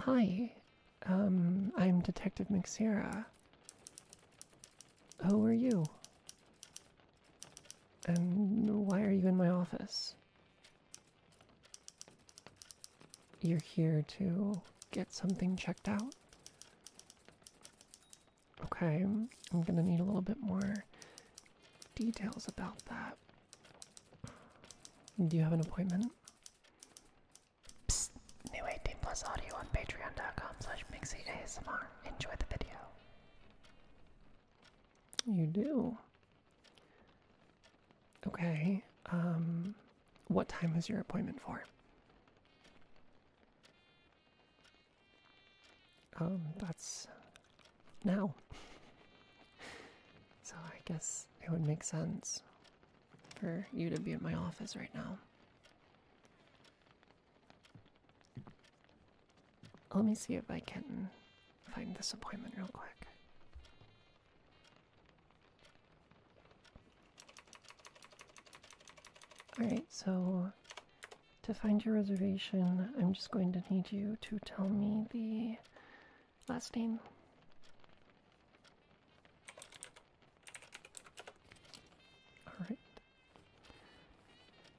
Hi, um, I'm Detective McSierra. Who are you? And why are you in my office? You're here to get something checked out? Okay, I'm gonna need a little bit more details about that. Do you have an appointment? new 18 plus audio on patreon.com slash mixieasmr. Enjoy the video. You do. Okay, um, what time is your appointment for? Um, that's now. so I guess it would make sense for you to be in my office right now. Let me see if I can find this appointment real quick. Alright, so to find your reservation, I'm just going to need you to tell me the last name. Alright.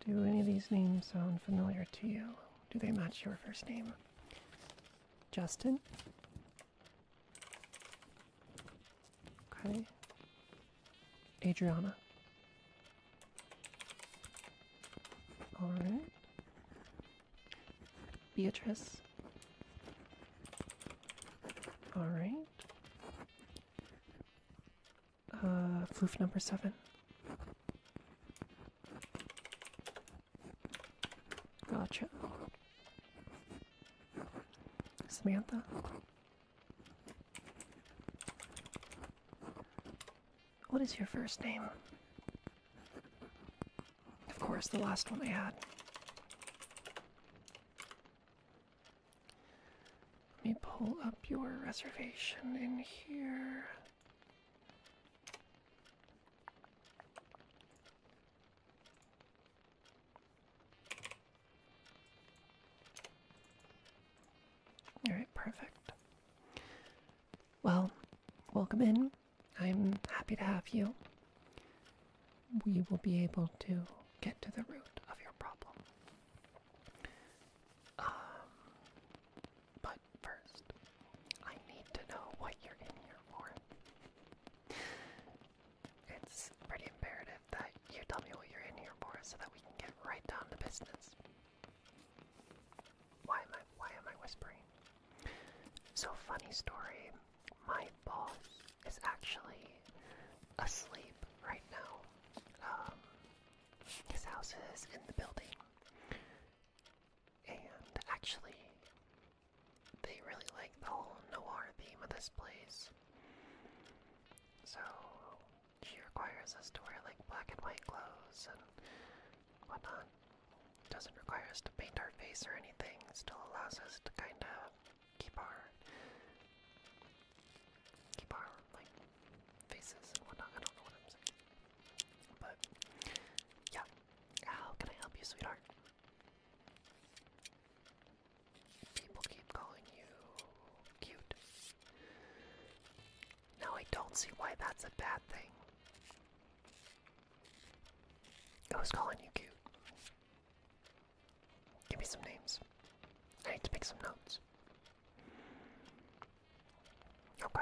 Do any of these names sound familiar to you? Do they match your first name? Justin? Okay. Adriana? Alright. Beatrice. Alright. Uh, proof number seven. Gotcha. Samantha. What is your first name? Of course, the last one I had. Let me pull up your reservation in here. All right, perfect. Well, welcome in. I'm happy to have you. We will be able to get to the root of your problem. Um, but first, I need to know what you're in here for. It's pretty imperative that you tell me what you're in here for so that we can get right down to business. Why am I why am I whispering? So funny story, my boss is actually asleep right now. Um his house is in the building. And actually they really like the whole noir theme of this place. So she requires us to wear like black and white clothes and whatnot. Doesn't require us to paint our face or anything, still allows us to kind of keep our keep our like faces and whatnot. I don't know what i But yeah. How can I help you, sweetheart? People keep calling you cute. No, I don't see why that's a bad thing. I was calling you cute. Give me some names. I need to make some notes. Okay.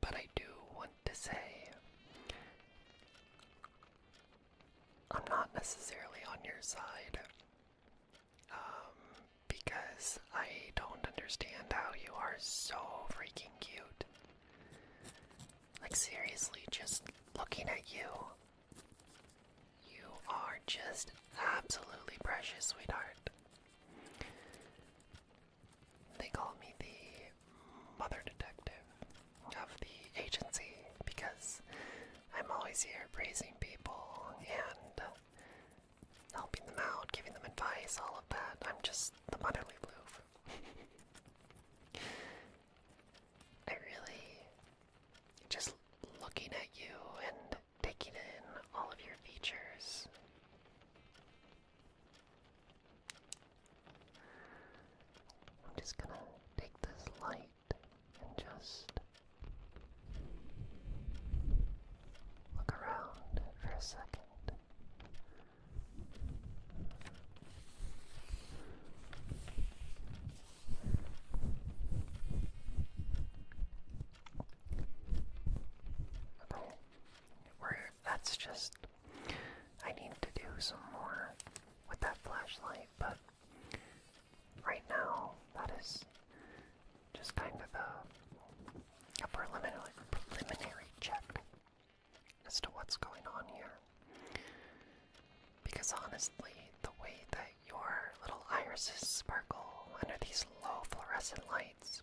But I do want to say I'm not necessarily on your side um, because I don't understand how you are so freaking cute. Like, seriously, just looking at you, you are just absolutely precious, sweetheart. They call me the mother detective of the agency because I'm always here praising people and helping them out, giving them advice, all of that. I'm just the motherly blue. I really just looking at you and taking in all of your features I'm just gonna take this light and just look around for a second. Okay that's just I need to do some more with that flashlight, but right now that is just kind of a, a preliminary preliminary check as to what's going on here. Because honestly, the way that your little irises sparkle under these low fluorescent lights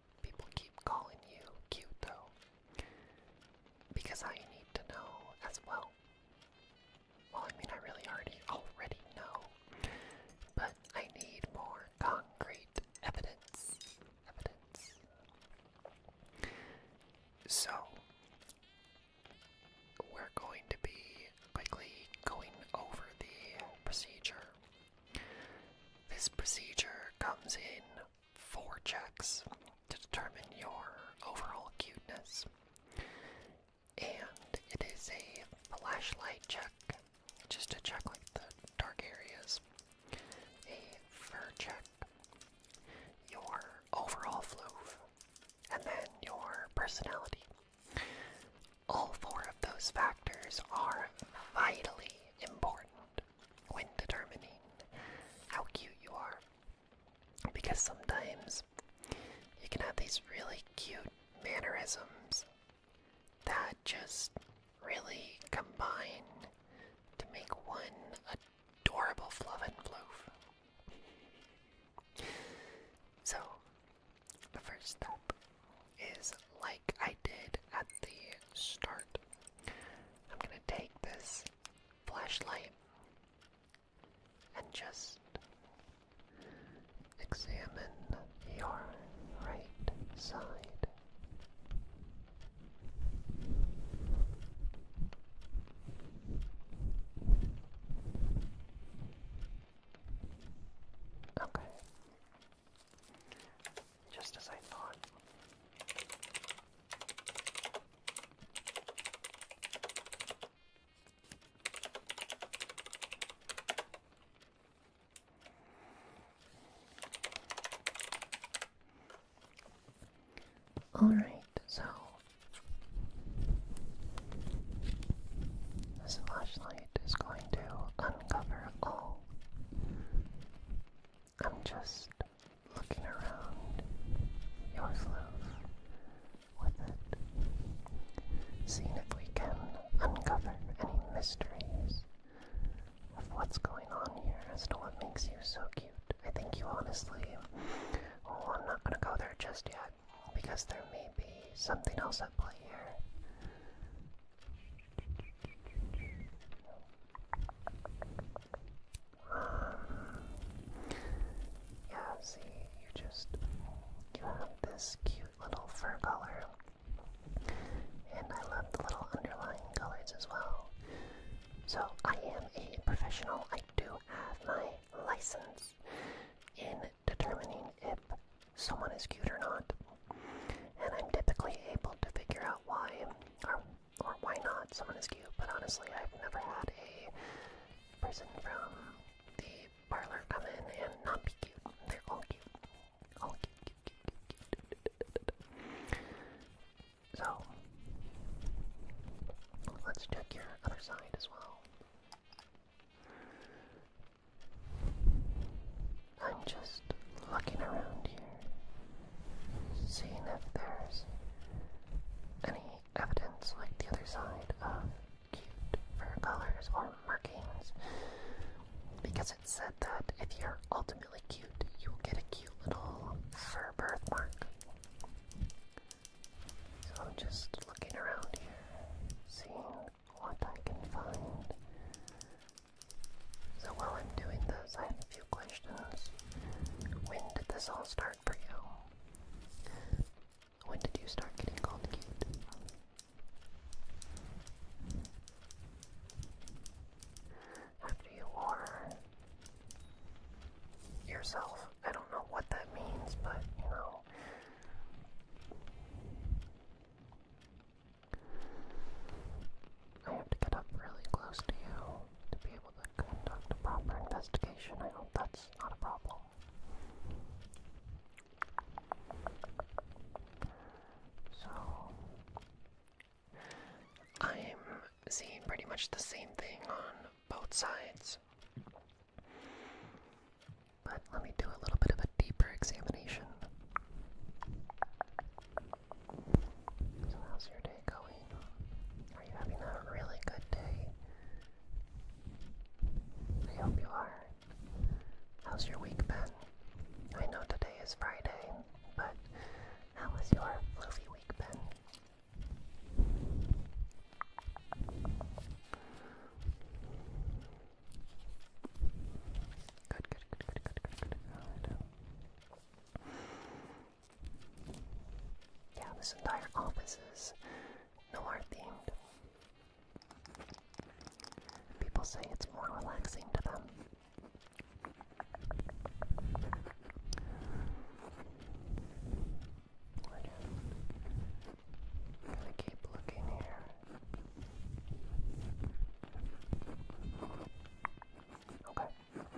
People keep calling you cute though. Because I need to know as well. Well, I mean, I really already already know, but I need more concrete evidence. Evidence. So we're going to be quickly going over the procedure. This procedure comes in four checks to determine your overall cuteness. And it is a flashlight check, just to check like the dark areas. A fur check, your overall floof, and then your personality. All four of those factors are vitally important when determining how cute you are. Because sometimes you can have these really cute mannerisms that just really combine to make one adorable fluff and floof. So, the first step is like I did at the start I'm gonna take this flashlight and just examine your right side. Okay just as I thought. All right, so this flashlight is going to uncover all I'm just looking around your slough with it, seeing if we can uncover any mysteries of what's going on here as to what makes you so cute. I think you honestly. Oh, I'm not gonna go there just yet because there may be something else at play here. Yeah, see, you just you have this cute little fur color. And I love the little underlying colors as well. So I am a professional. I do have my license in determining if someone is cute or not. And I'm typically able to figure out why or why not? Someone is cute, but honestly, I've never had a person from the parlor come in and not be cute. They're all cute. All cute, cute, cute, cute, cute. So, let's check your other side as well. I'm just looking around here, seeing if there's any evidence like the other side of cute fur colors or markings. Because it said that if you're ultimately cute, you will get a cute little fur birthmark. So I'm just looking around here, seeing what I can find. So while I'm doing those, I have a few questions. When did this all start for you? When did you start getting called cute? After you are yourself. I don't know what that means, but you know. I want to get up really close to you to be able to conduct a proper investigation. I hope that's not a problem. So, I'm seeing pretty much the same thing on both sides. But let me do a little bit of a deeper examination. So how's your day going? Are you having a really good day? I hope you are. How's your week been? I know today is Friday, but how was your fluffy week Ben? Good, good, good, good, good, good, good. Yeah, this entire office is no art themed. People say it's more relaxing to them. we keep looking here. Okay.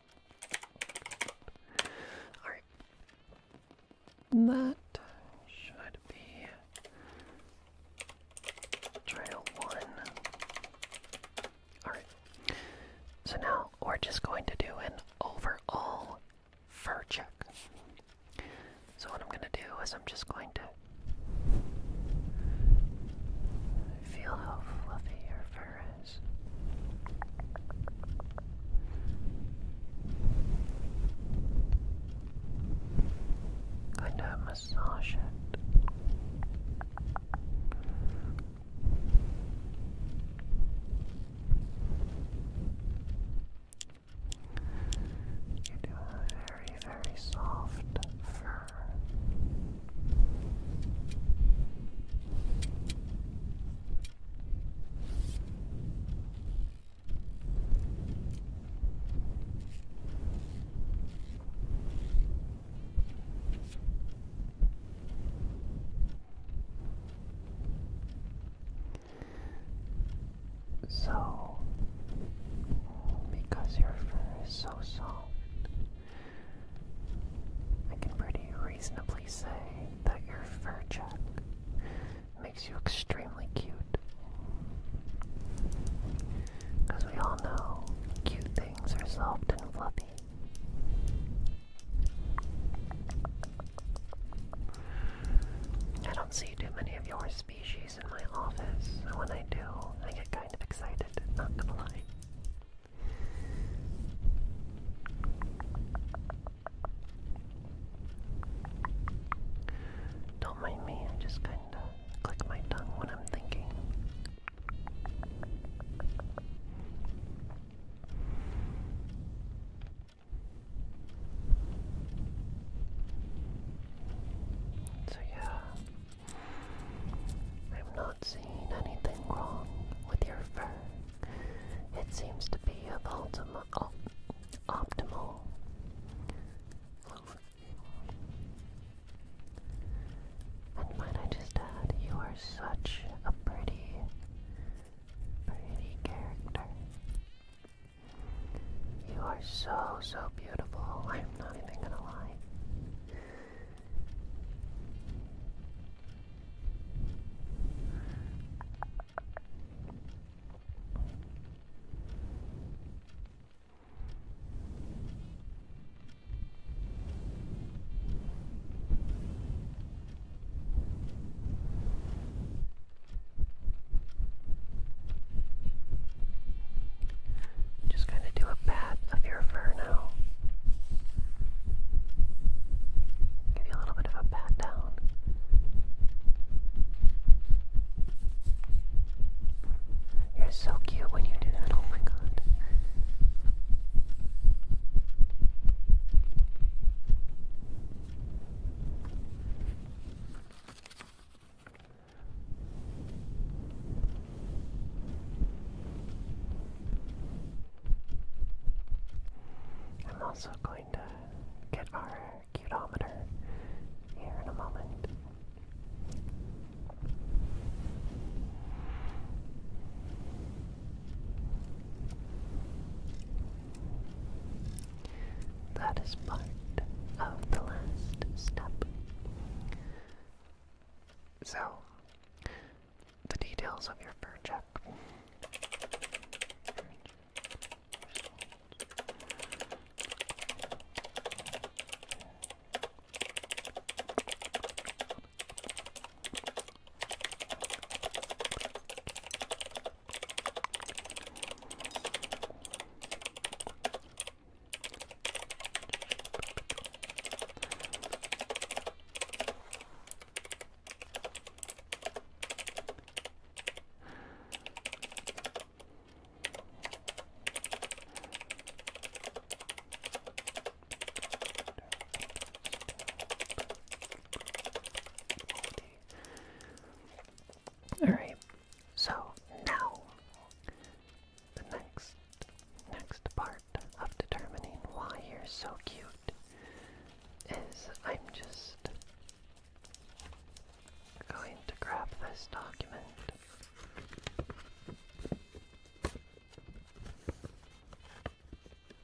Alright. That should be trail one. Alright. So now we're just going to do an overall fur check. So what I'm going to do is I'm just going to feel how fluffy your fur fur is. massage it. You do a very, very soft fur. So, because your fur is so soft, I can pretty reasonably say that your fur check makes you extremely cute. Because we all know cute things are soft and fluffy. I don't see too many of your species in my office, and when I do, I get kind of excited, not gonna lie. Don't mind me, I just kinda click my tongue when I'm thinking. So yeah, I'm not seen anything wrong with your fur. It seems to be of ultima optimal. And might I just add, you are such a pretty, pretty character. You are so, so beautiful. I'm not even gonna lie. Just kind of do a pat of your fur now. Give you a little bit of a pat down. You're so cute when you do that, oh my god. I'm also going to get our cutometer here in a moment. That is part of the last step. So, the details of your project. Alright, so now the next next part of determining why you're so cute is I'm just going to grab this document.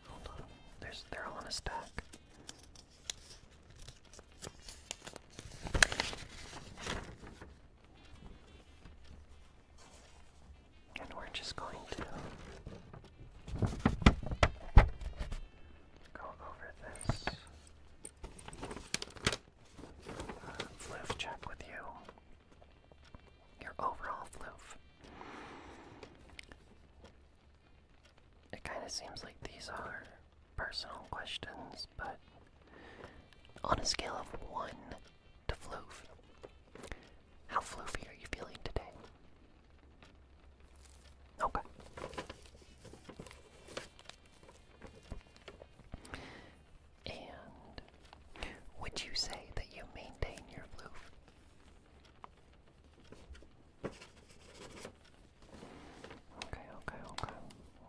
Hold on, there's they're all in a stack. And we're just going to go over this uh, floof check with you. Your overall floof. It kind of seems like these are personal questions, but on a scale of 1 to floof, how floofy are you feeling today? Okay. And would you say that you maintain your floof? Okay, okay, okay.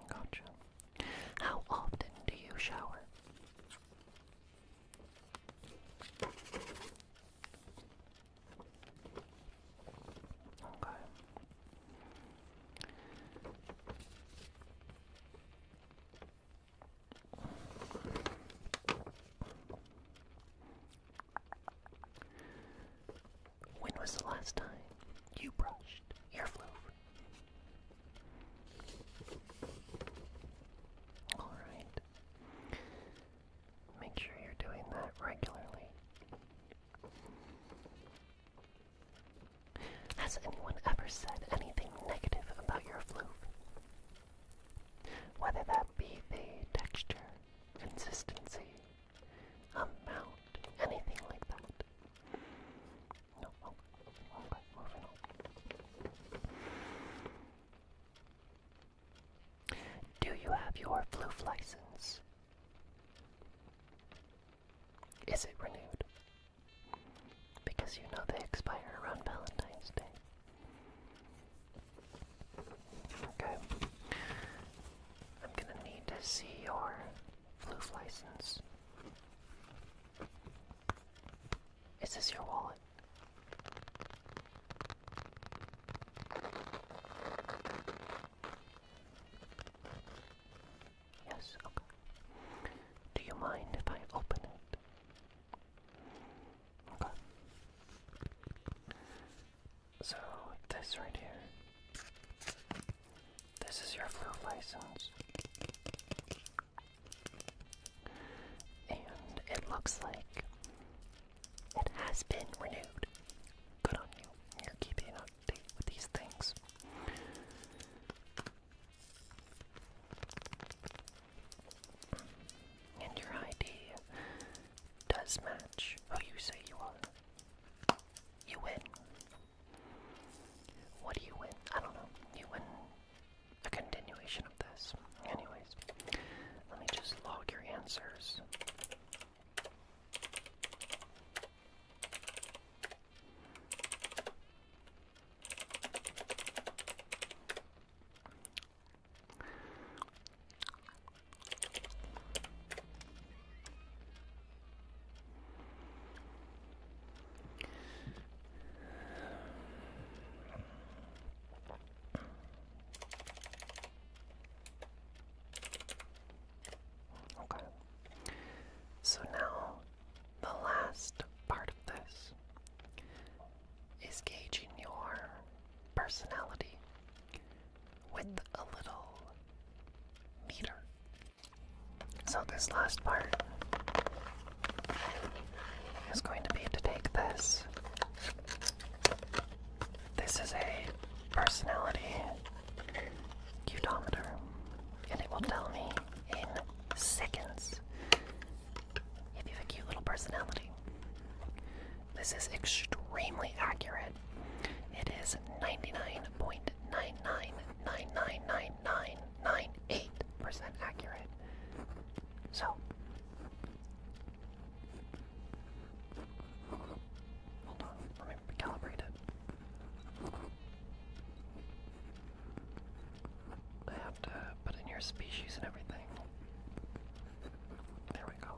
Gotcha. How often do you shower? Okay. When was the last time you brushed your flow? All right. Make sure you're doing that regularly. Has anyone ever said anything negative about your floof? Whether that be the texture, consistency, amount, anything like that. Oh, do you have your flu license? Is it renewed? Because you know they expire around Valentine's Day. Okay. I'm gonna need to see your flu license. Is this your wallet? Yes, okay. Do you mind if I open it? Okay. So, this right here. This is your flu license. And it looks like it has been renewed. Good on you. You're keeping up with these things. And your ID does match who you say you are. You win. What do you win? I don't know. You win a continuation of this. Anyways, let me just log your answers. Okay. So now, the last part of this is gauging your personality with a little meter. So, this last part is going to be to take this this is a personality cutometer, and it will tell me in seconds if you have a cute little personality. This is extremely accurate. It is 99.99999998% accurate. So, Hold on, let to recalibrate it. I have to put in your species and everything. There we go.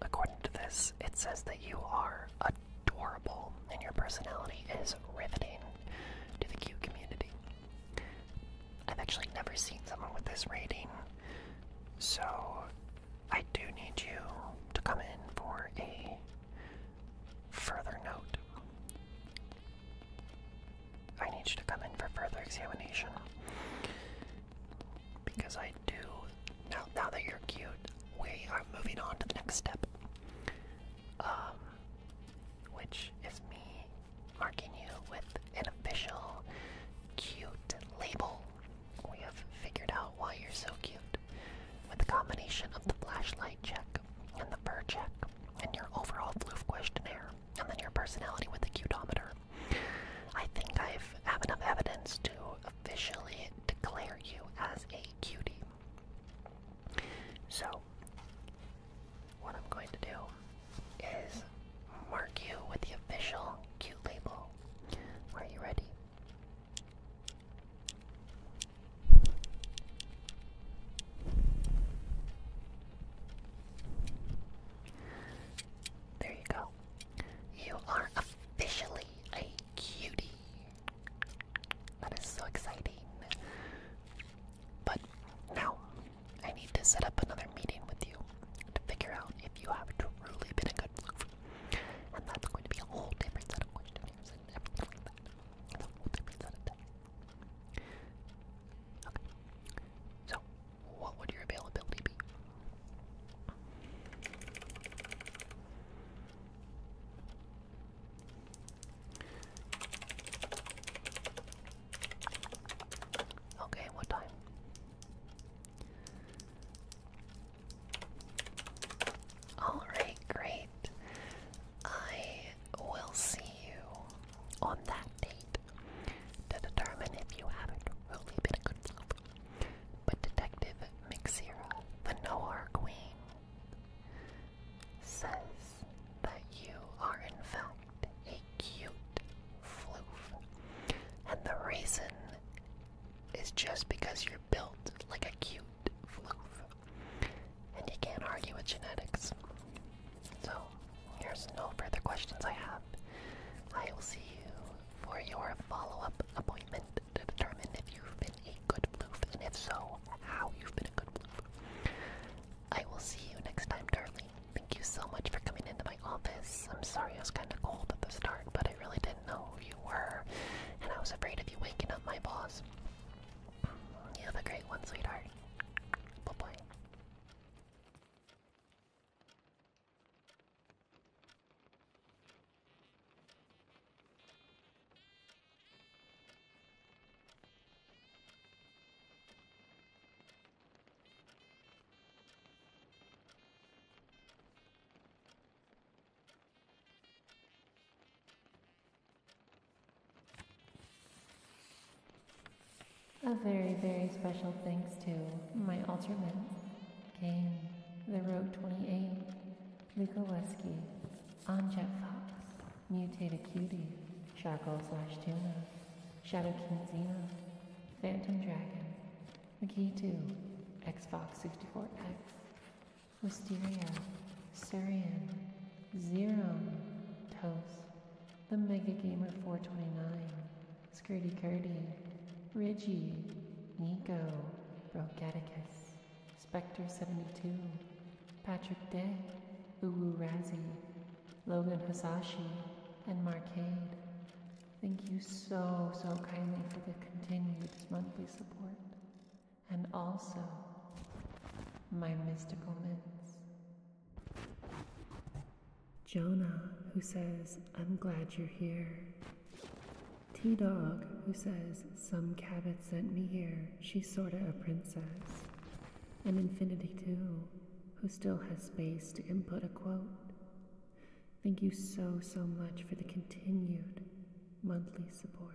According to this, it says that you are adorable and your personality is riveting to the Q community. I've actually never seen someone with this rating, so I do need you to come in for a Further note I need you to come in for further examination. Because I do. Now, now that you're cute, we are moving on to the next step. Um, which is me marking you with an official cute label. We have figured out why you're so cute with a combination of the flashlight check and the fur check, and your overall floof questionnaire, and then your personality with the cutometer. I think I have enough evidence to officially declare you as a cutie. So, what I'm going to do is mark you with the official cute label. Are you ready? There you go. You are officially a cutie. That is so exciting. But now, I need to set up another meeting with you to figure out if you have truly been a good move. And that's going to be a whole different set of questionnaires and everything like that. Okay. So, what would your availability be? Okay, what time? Alright, great. I will see you on that date to determine if you haven't really been a good self. But Detective Mixera, the Noir Queen, says that you are in fact a cute floof. And the reason is just because you're built like a cute floof. And you can't argue with genetics. So, there's no further questions I have. I will see you for your follow up appointment to determine if you've been a good floof, and if so, how you've been a good floof. I will see you next time, darling. Thank you so much for coming into my office. I'm sorry I was kind of cold at the start, but I really didn't know who you were, and I was afraid of you waking up my boss. You have a great one, sweetheart. Bye bye. A very, very special thanks to my alternate Kane, The Rogue 28, Luca Wesky, Onjet Fox, Mutated Cutie, Sharkle Slash Tuna, Shadow King Xena, Phantom Dragon, McKee2, Xbox64X, Wisteria, Surian, Zero. Toast. The Mega Gamer 429. Skirty Curty, Reggie. Nico. Brocaticus. Spectre 72. Patrick Day. Uwu Razi, Logan Hasashi. And Marcade. Thank you so, so kindly for the continued monthly support and also my mystical mints. Jonah, who says, I'm glad you're here. T Dog, who says, Some Cabot sent me here. She's sorta a princess. And Infinity 2, who still has space to input a quote. Thank you so, so much for the continued monthly support.